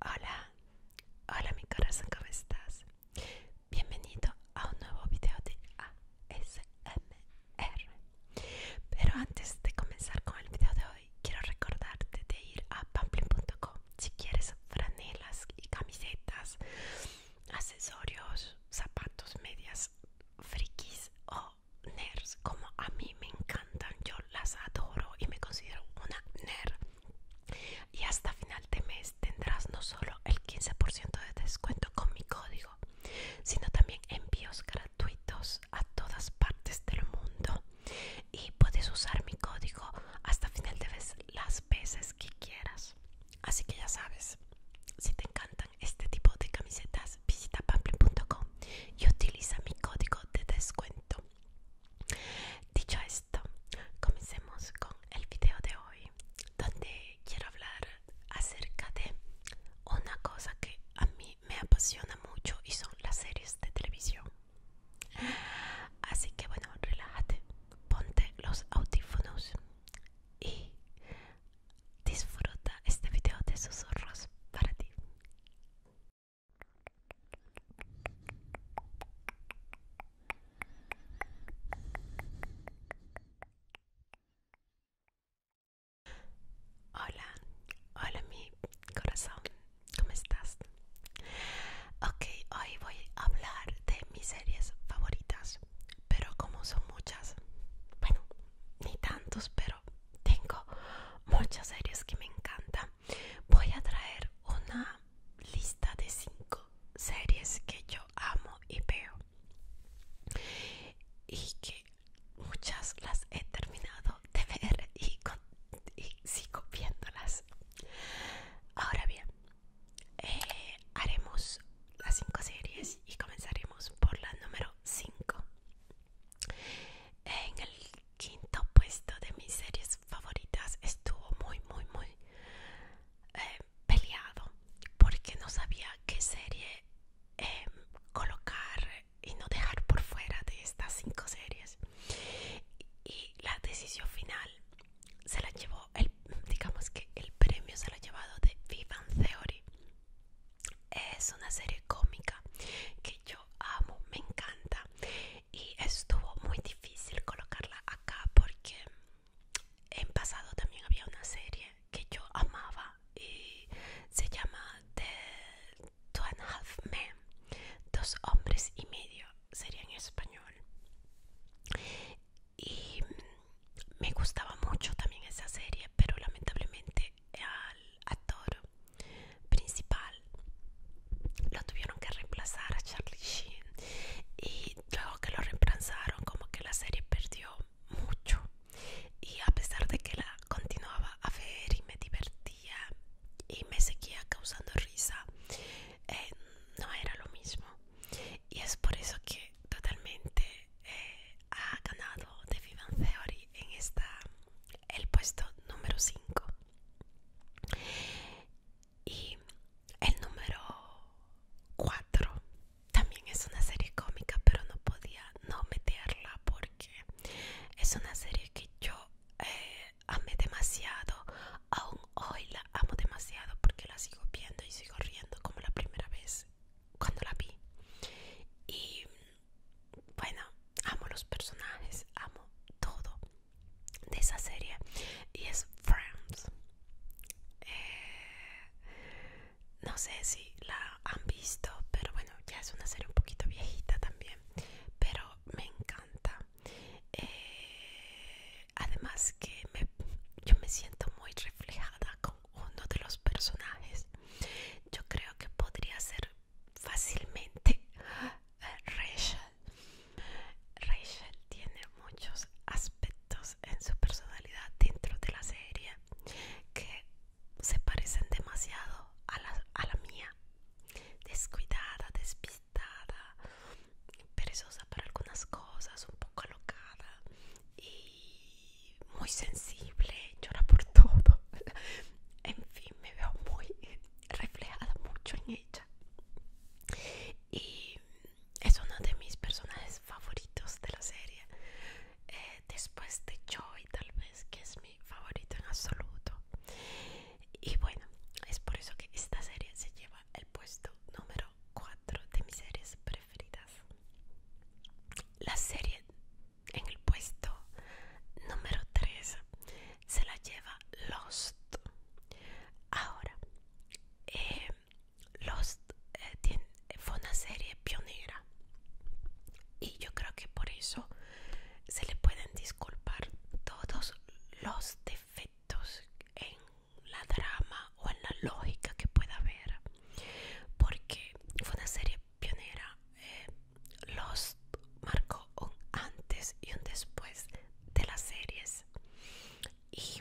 Hola, hola mi corazón, ¿cómo estás? Bienvenido a un nuevo video de ASMR. Pero antes de comenzar con el video de hoy, quiero recordarte de ir a pamplin.com si quieres franelas y camisetas, accesorios, zapatos, medias, frikis o nerds, como a mí me encantan, yo las adoro y me considero una nerd. Y hasta final de mes tendrás no solo el 15% de descuento con mi código, sino también envíos gratuitos a todas partes del mundo. Y puedes usar mi código hasta final de mes las veces que quieras. Así que ya sabes, si te encantan este tipo de camisetas, visita pamplin.com y utiliza mi código de descuento. Dicho esto, comencemos con el video de hoy, donde quiero hablar acerca de una cosa que a mí me apasiona mucho y son las series de televisión. Así que bueno, relájate, ponte los audífonos y disfruta este video de susurros para ti. Hola, hola mi corazón, ¿cómo estás? Ok, hoy voy a hablar de mis series favoritas, pero como son muchas, bueno, ni tantos, pero tengo muchas series que me encantan voy a traer una lista de cinco series que yo amo y veo. Y que muchas las he terminado de ver y, sigo viéndolas. Ahora bien, eh, haremos las cinco series y comenzaremos por la número 5. En el quinto puesto de mis series favoritas estuvo muy muy muy eh, peleado porque no sabía qué serie em, colocar y no dejar por fuera de estas cinco series y la decisión final se la llevó el digamos que el premio se lo ha llevado de Vivan Theory es una serie cómica que yo amo me encanta y estuvo muy difícil colocarla acá porque en pasado también había una serie que yo amaba y se llama The Two and a Half Men, dos hombres y medio sería en español y me gustaba mucho también esa serie pero lamentablemente al actor principal lo tuvieron que reemplazar a Charlie Sheen y luego que lo reemplazaron como que la serie perdió mucho y a pesar de que la continuaba a ver y me divertía y me seguía causando risa eh, no era lo mismo y es por eso que totalmente eh, ha ganado The Vivian Theory en esta el puesto número 5 y el número 4 también es una serie cómica, pero no podía no meterla porque es una serie que yo eh, amé demasiado. Aún hoy la amo demasiado porque la sigo viendo y sigo riendo como la primera vez cuando la vi. Y bueno, amo los personajes, amo todo de esa serie y es Friends. Eh, no sé si la han visto, pero bueno, ya es una serie un poquito viejita también, pero me encanta. Eh, además que me, yo me siento muy reflejada con uno de los personajes. Yo creo que podría ser fácilmente Rachel. Rachel tiene muchos aspectos en su personalidad dentro de la serie que se parecen demasiado a la, mía. Descuidada, despistada, perezosa para algunas cosas, un poco alocada y muy sensible, llora por todo. en fin, me veo muy reflejada mucho en ella y es uno de mis personajes favoritos de la serie eh, después de Joy tal vez que es mi favorito en absoluto y bueno es por eso que esta serie se lleva el puesto número 4 de mis series preferidas la serie en el puesto número 3 se la lleva Lost. Ahora, eh, Lost eh, fue una serie pionera y yo creo que por eso se le pueden disculpar todos los defectos en la drama o en la lógica que pueda haber porque fue una serie pionera eh, Lost marcó un antes y un después de las series y,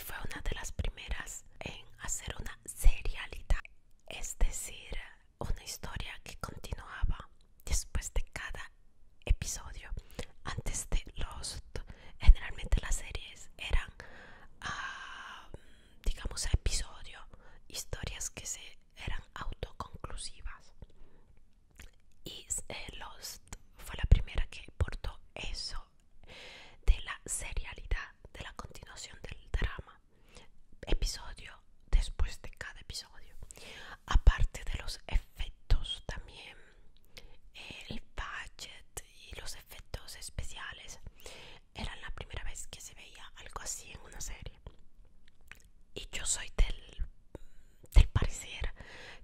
fue una de las primeras en hacer una serialidad es decir una historia que continuaba después de cada episodio antes de los generalmente las series eran ah, digamos episodio historias que se eran autoconclusivas Is Lost fue la primera que portó eso de la serialidad de la continuación del drama episodio después de cada episodio aparte de los efectos también el budget y los efectos especiales era la primera vez que se veía algo así en una serie y yo soy del del parecer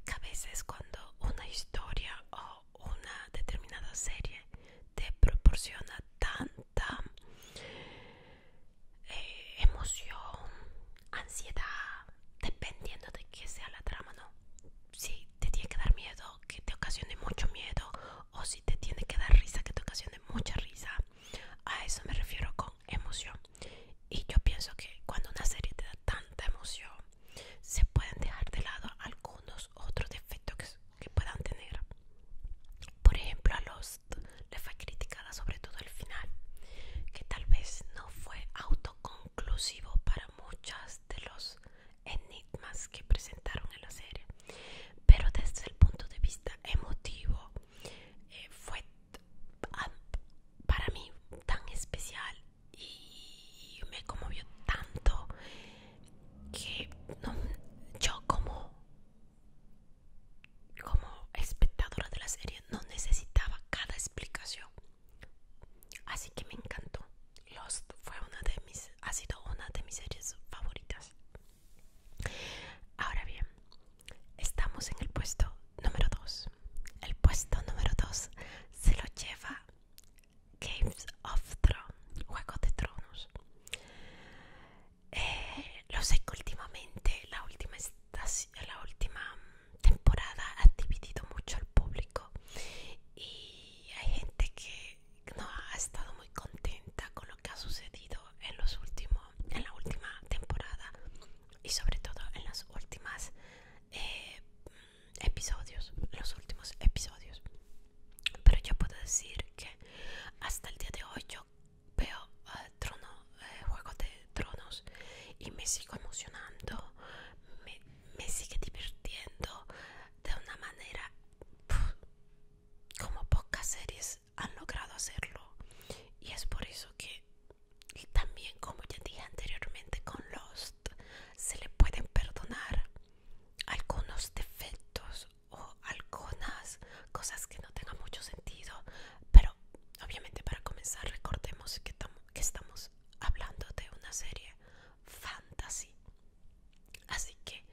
que a veces cuando una historia o una determinada serie te proporciona tanta eh, emoción, ansiedad, dependiendo de qué sea la trama, ¿no? Si te tiene que dar miedo, que te ocasione mucho miedo, o si te tiene que dar risa, que te ocasione mucha risa. A eso me refiero con emoción. Y yo pienso que cuando una serie te da tanta emoción, se pueden dejar de lado algunos otros defectos que, puedan tener. Por ejemplo, a Lost le fue criticada sobre todo el final, que tal vez no fue autoconclusivo para muchas de los enigmas que presentaron en la serie, pero desde el punto de vista emotivo eh, fue para mí tan especial y me conmovió tanto que yo como como espectadora de la serie no necesitaba cada explicación así que me encantó Lost fue una de mis ha sido una de mis series favoritas ahora bien estamos en el puesto número 2. El puesto número 2 se lo lleva Games of Thrones, Juegos de Tronos. Eh, lo sé que últimamente la última, la última temporada ha dividido mucho al público y hay gente que no ha estado muy contenta con lo que ha sucedido en los últimos en la última temporada y sobre todo en las últimas eh, episodios, los últimos episodios. Pero yo puedo decir que hasta el día de hoy yo veo Tronos eh, trono, eh, Juego de Tronos y me sigo emocionando, me, sigue divirtiendo de una manera como pocas series han logrado hacerlo. Y es por eso que y también como ya dije anteriormente con Lost se le pueden perdonar algunos defectos o algunas cosas que no tengan mucho sentido pero obviamente para comenzar recordemos que, estamos hablando de una serie fantasy así que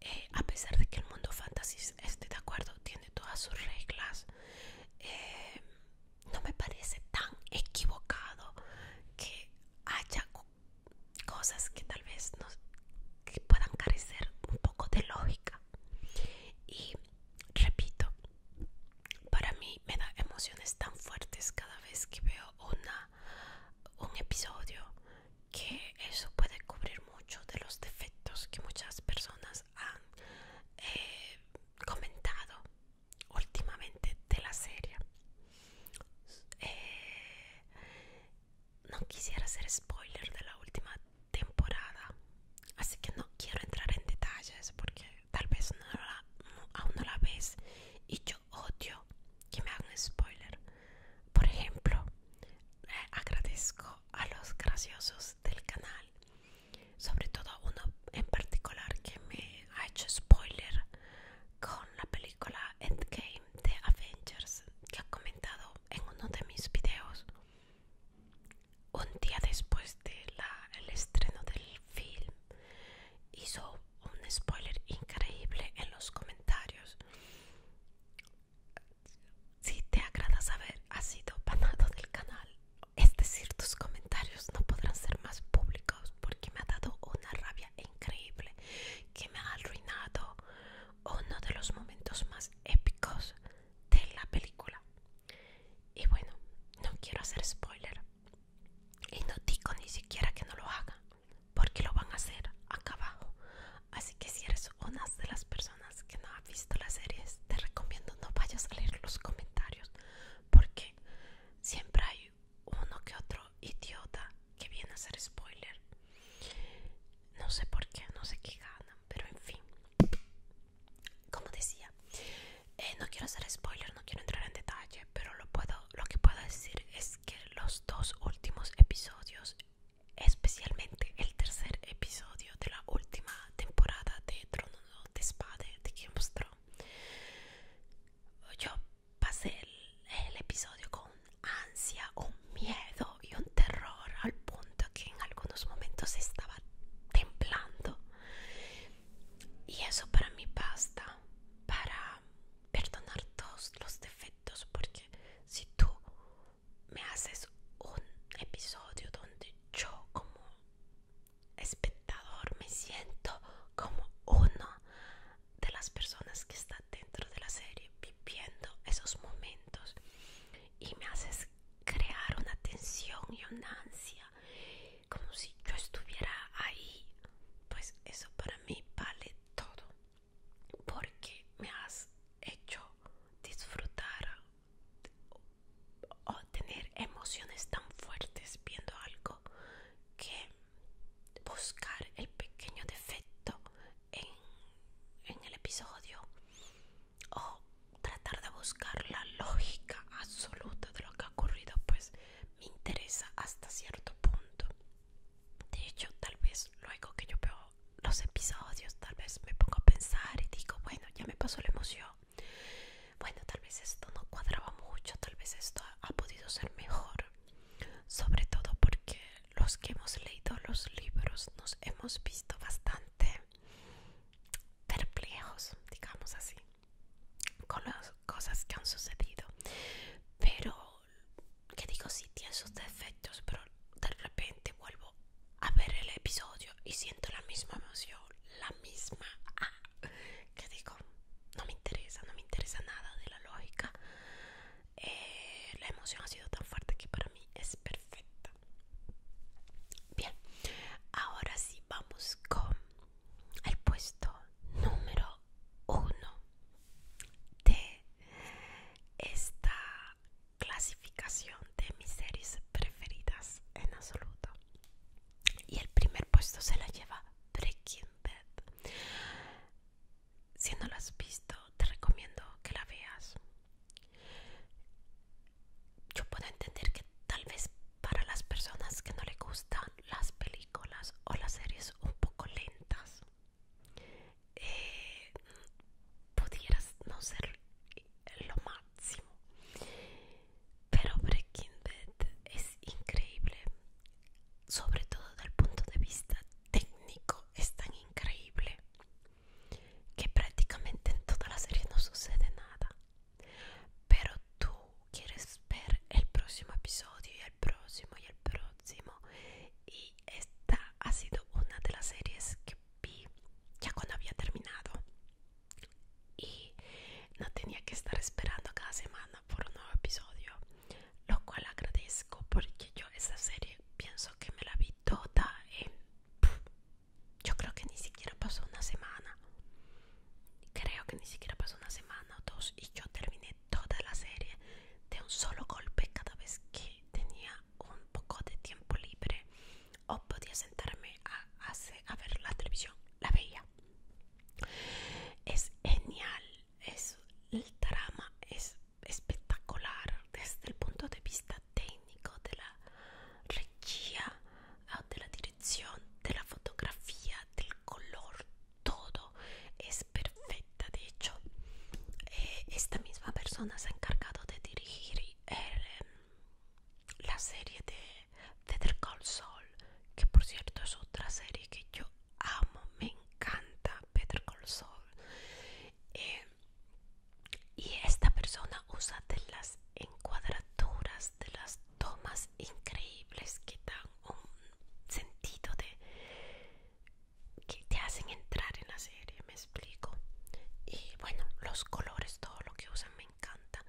eh, a pesar de que el mundo fantasy esté de acuerdo tiene todas sus reglas eh, no me parece tan equivocado que haya cosas que tal vez nos puedan carecer un poco de lógica y repito para mí me da emociones tan fuertes cada vez que veo una un episodio que eso puede cubrir mucho de los defectos que muchas personas han eh, comentado últimamente de la serie eh, no quisiera hacer spoiler de la última temporada así que no quiero entrar en detalles porque tal vez no la, aún no la ves y yo odio que me hagan spoiler por ejemplo eh, agradezco a los graciosos del canal sobre todo uno en particular que me ha hecho spoiler con la película Endgame de Avengers que ha comentado en uno de mis videos un día después del el estreno del film hizo un spoiler increíble en los comentarios si te agrada saber has sido panado del canal es decir, tus comentarios no podrán ser más públicos porque me ha dado una rabia increíble que me ha arruinado uno de los momentos más épicos de la película. Y bueno, no quiero hacer spoiler y no digo ni siquiera que no lo haga porque lo van a hacer acá abajo. Así que si eres una de las personas que no ha visto la serie te recomiendo no vayas a leer los comentarios porque siempre hay uno que otro idiota que viene a hacer spoiler. No sé por qué, no sé qué gana, pero en fin. Como decía, eh, no quiero hacer spoiler, no quiero entrar en detalle, pero lo, puedo, lo que puedo decir es que los dos últimos episodios, especialmente el tercer episodio de la última temporada de Trono de Espada de Game of Thrones, yo pasé el, episodio con ansia, un miedo y un terror al punto que en algunos momentos estaba temblando. Y eso para mí basta para perdonar todos los defectos, porque si tú me haces un episodio donde yo como espectador, me siento como uno de las personas que está dentro de la serie viviendo esos momentos y me haces crear una tensión y una ansia como si yo estuviera ahí pues eso para mí vale todo porque me has hecho disfrutar o tener emociones tan fuertes viendo algo que buscar el pequeño defecto en, en el episodio o tratar de buscar la lógica absoluta de lo que ha ocurrido pues me interesa hasta cierto punto de hecho tal vez luego que yo veo los episodios tal vez me pongo a pensar y digo bueno ya me pasó la emoción bueno, tal vez esto no cuadraba mucho, tal vez esto ha, podido ser mejor, sobre todo porque los que hemos leído los libros nos hemos visto bastante perplejos, digamos así, con las cosas que han sucedido. Pero, que digo, sí tiene sus defectos, pero de repente vuelvo a ver el episodio y siento la misma emoción, la misma... Ah, que digo, no me interesa, no me interesa nada de la lógica. Eh, la emoción ha sido tan fuerte que para mí es perfecta. Bien, ahora sí vamos con el puesto número uno de esta clasificación de mis series preferidas en absoluto y el primer puesto se la lleva Breaking Bad. Si no la has visto, te recomiendo que la veas. Yo puedo entender que tal vez para las personas que no le gustan las películas o las series un poco lentas, eh, pudieras no ser lo máximo. Pero Breaking Bad es increíble, sobre todo desde el punto de vista técnico, es tan increíble que prácticamente en toda la serie no sucede nada. Pero tú quieres ver el próximo episodio y el próximo y el próximo. Y esta ha sido una de las series que vi ya cuando había terminado. Y no tenía que estar esperando cada semana por un nuevo episodio, lo cual agradezco porque yo esa serie pienso que me la vi toda en... yo creo que ni siquiera pasó una semana. Creo que ni siquiera pasó una semana o dos y yo terminé toda la serie de un solo golpe cada vez que tenía un poco de tiempo libre o podía sentarme a ver la televisión. La veía. Es genial, es el drama, es espectacular desde el punto de vista técnico, de la regia, ah, de la dirección, de la fotografía, del color, todo es perfecta. De hecho, eh, esta misma persona se ha encargado de dirigir eh, la serie de Peter Cerca Sol, que por cierto es otra serie que yo amo, me encanta Peter Call Sol. Eh, y esta persona usa de las encuadraturas, de las tomas increíbles que dan un sentido de que te hacen entrar en la serie, me explico. Y bueno, los colores, todo lo que usan me encanta.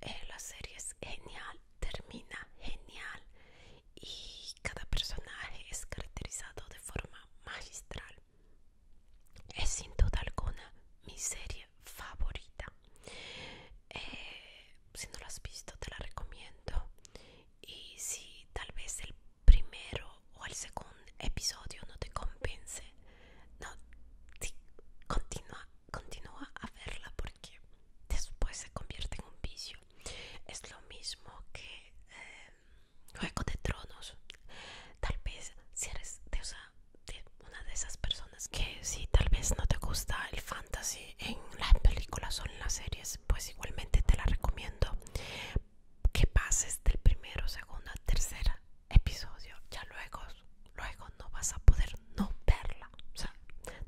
Eh, la serie es genial termina genial y cada personaje es caracterizado de forma magistral. Es sin duda alguna mi serie favorita. Eh, si no la has visto, te la recomiendo. Y si tal vez el primero o el segundo episodio no te convence, no, si continúa continúa a verla porque después se convierte en un vicio. Es lo mismo que eh, Juego de Tronos. Tal vez si eres de, una de esas personas que si tal vez no te gusta el fantasy en las películas o en las series, pues igualmente te la recomiendo que pases del primero, segundo, tercer episodio. Ya luego, luego no vas a poder no verla sea,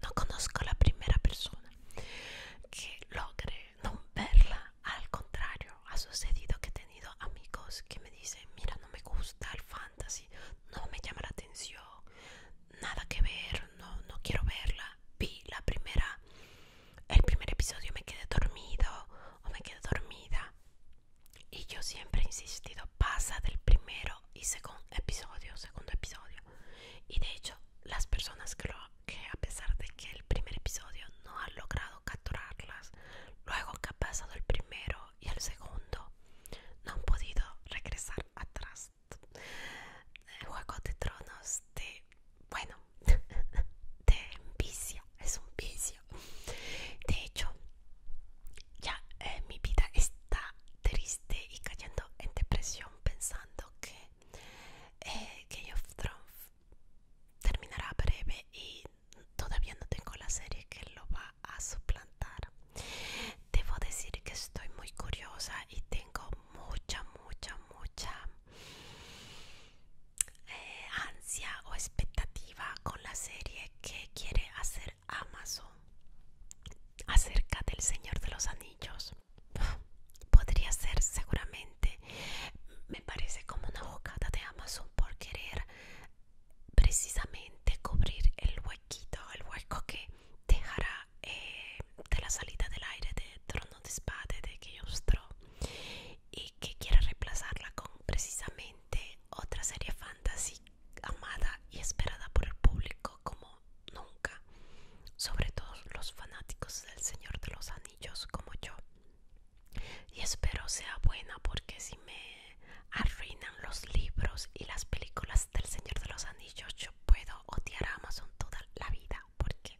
no conozco la primera persona que logre no verla. Al contrario, ha sucedido que he tenido amigos que me dicen, mira, no me gusta el fantasy, no me llama la atención, nada que ver, no, no quiero verla. Vi la primera, el primer episodio me quedé dormido o me quedé dormida. Y yo siempre he insistido, pasa del primero y segundo episodio, segundo episodio. Y de hecho las personas que, que a pesar de que el primer episodio no ha logrado capturarlas, luego que ha pasado el primero y el segundo, no han podido regresar atrás. Juego de Tronos de, bueno, de vicio, es un vicio. De hecho, ya eh, mi vida está triste y cayendo en depresión pensando eh, que Game of Thrones terminará breve y todavía no tengo la serie que lo va a suplantar. Debo decir que estoy muy curiosa y tengo mucha, mucha, mucha eh, ansia o expectativa con la serie que quiere hacer Amazon acerca del Señor de los Anillos podría ser seguramente me parece como una bocata de Amazon por querer precisamente cubrir el huequito el hueco que dejará eh, de la salida del aire de trono de espada de Kyostro y que quiera reemplazarla con precisamente otra serie fantasy amada y esperada por el público como nunca, sobre todo los fanáticos del Señor de los Anillos como yo. Y espero sea buena porque si me arruinan los libros y las películas del Señor de los Anillos, yo puedo odiar a Amazon toda la vida porque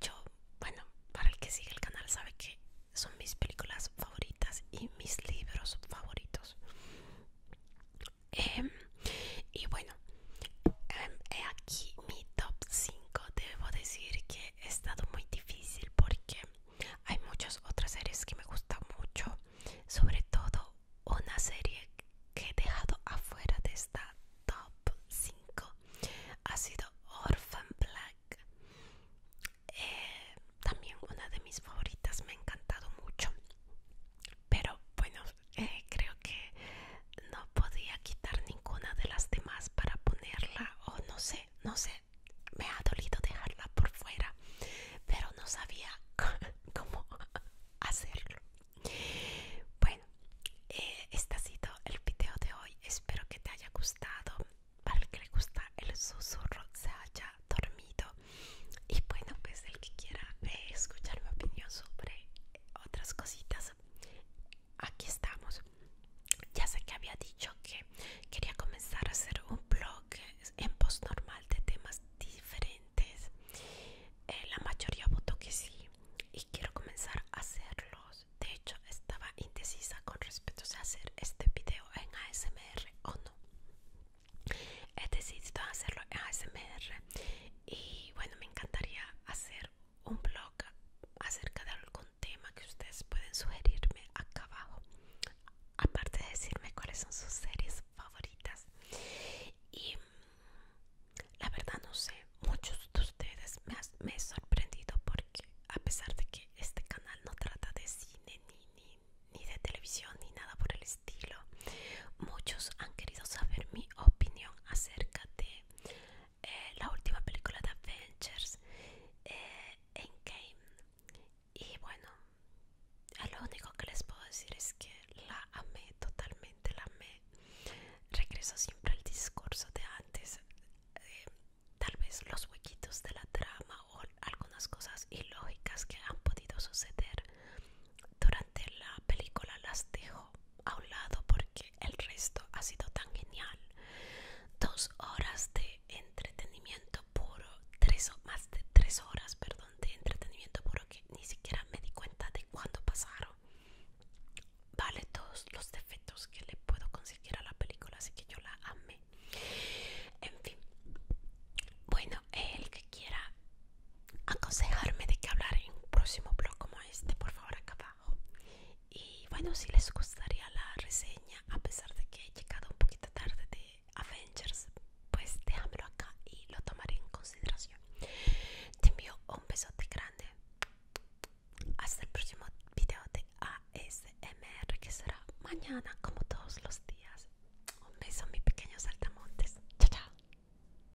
yo, bueno, para el que sigue el canal sabe que son mis películas favoritas y mis libros favoritos. Em, y bueno em, aquí mi top 5 debo decir que he estado muy difícil porque hay muchas otras series que me gustan mucho sobre todo una serie que he dejado afuera de esta top 5 ha sido Orphan Black eh, también una de mis favoritas me ha encantado mucho pero bueno eh, creo que no podía quitar ninguna de las demás para ponerla o no sé, no sé, me ha dolido dejarla por fuera, pero no sabía cómo hacerlo. Bueno, eh, este ha sido el video de hoy, espero que te haya gustado, para el que le gusta el susurro se haya dormido y bueno, pues el que quiera eh, escuchar mi opinión sobre otras cositas aquí estamos ya sé que había dicho que quería comenzar a hacer un blog en post normal de temas diferentes eh, la mayoría votó que sí y quiero comenzar a hacerlos de hecho estaba indecisa con respecto a hacer este video en ASMR o no he decidido hacerlo en ASMR y bueno me encantaría hacer un blog acerca de algún tema que ustedes pueden sugerirme acá abajo aparte de decirme cuáles son sus series favoritas y mm, la verdad no sé muchos de ustedes me, han sorprendido porque a pesar de que este canal no trata de cine ni, ni de televisión ni nada por el estilo muchos han querido saber mi opinión acerca de eh, la última película de Avengers en eh, Endgame y bueno lo único que les puedo decir es que la amé totalmente la amé regreso siempre al discurso de antes eh, tal vez los huequitos de la trama o algunas cosas ilógicas que han podido suceder durante la película las dejo a un lado porque el resto ha sido tan genial. Dos horas de entretenimiento puro, tres más de tres horas, perdón, de entretenimiento puro que ni siquiera me di cuenta de cuándo pasaron. Vale todos los defectos que le puedo conseguir a la película, así que yo la amé. En fin, bueno, el que quiera aconsejarme de que hablar en un próximo blog como este, por favor acá abajo. Y bueno, si les gustaría la reseña, a pesar de que he llegado un poquito tarde de Avengers, pues déjamelo acá y lo tomaré en consideración. Te envío un besote grande. Hasta el próximo video de ASMR que será mañana como todos los días. Un beso mis pequeños saltamontes. Chao, chao.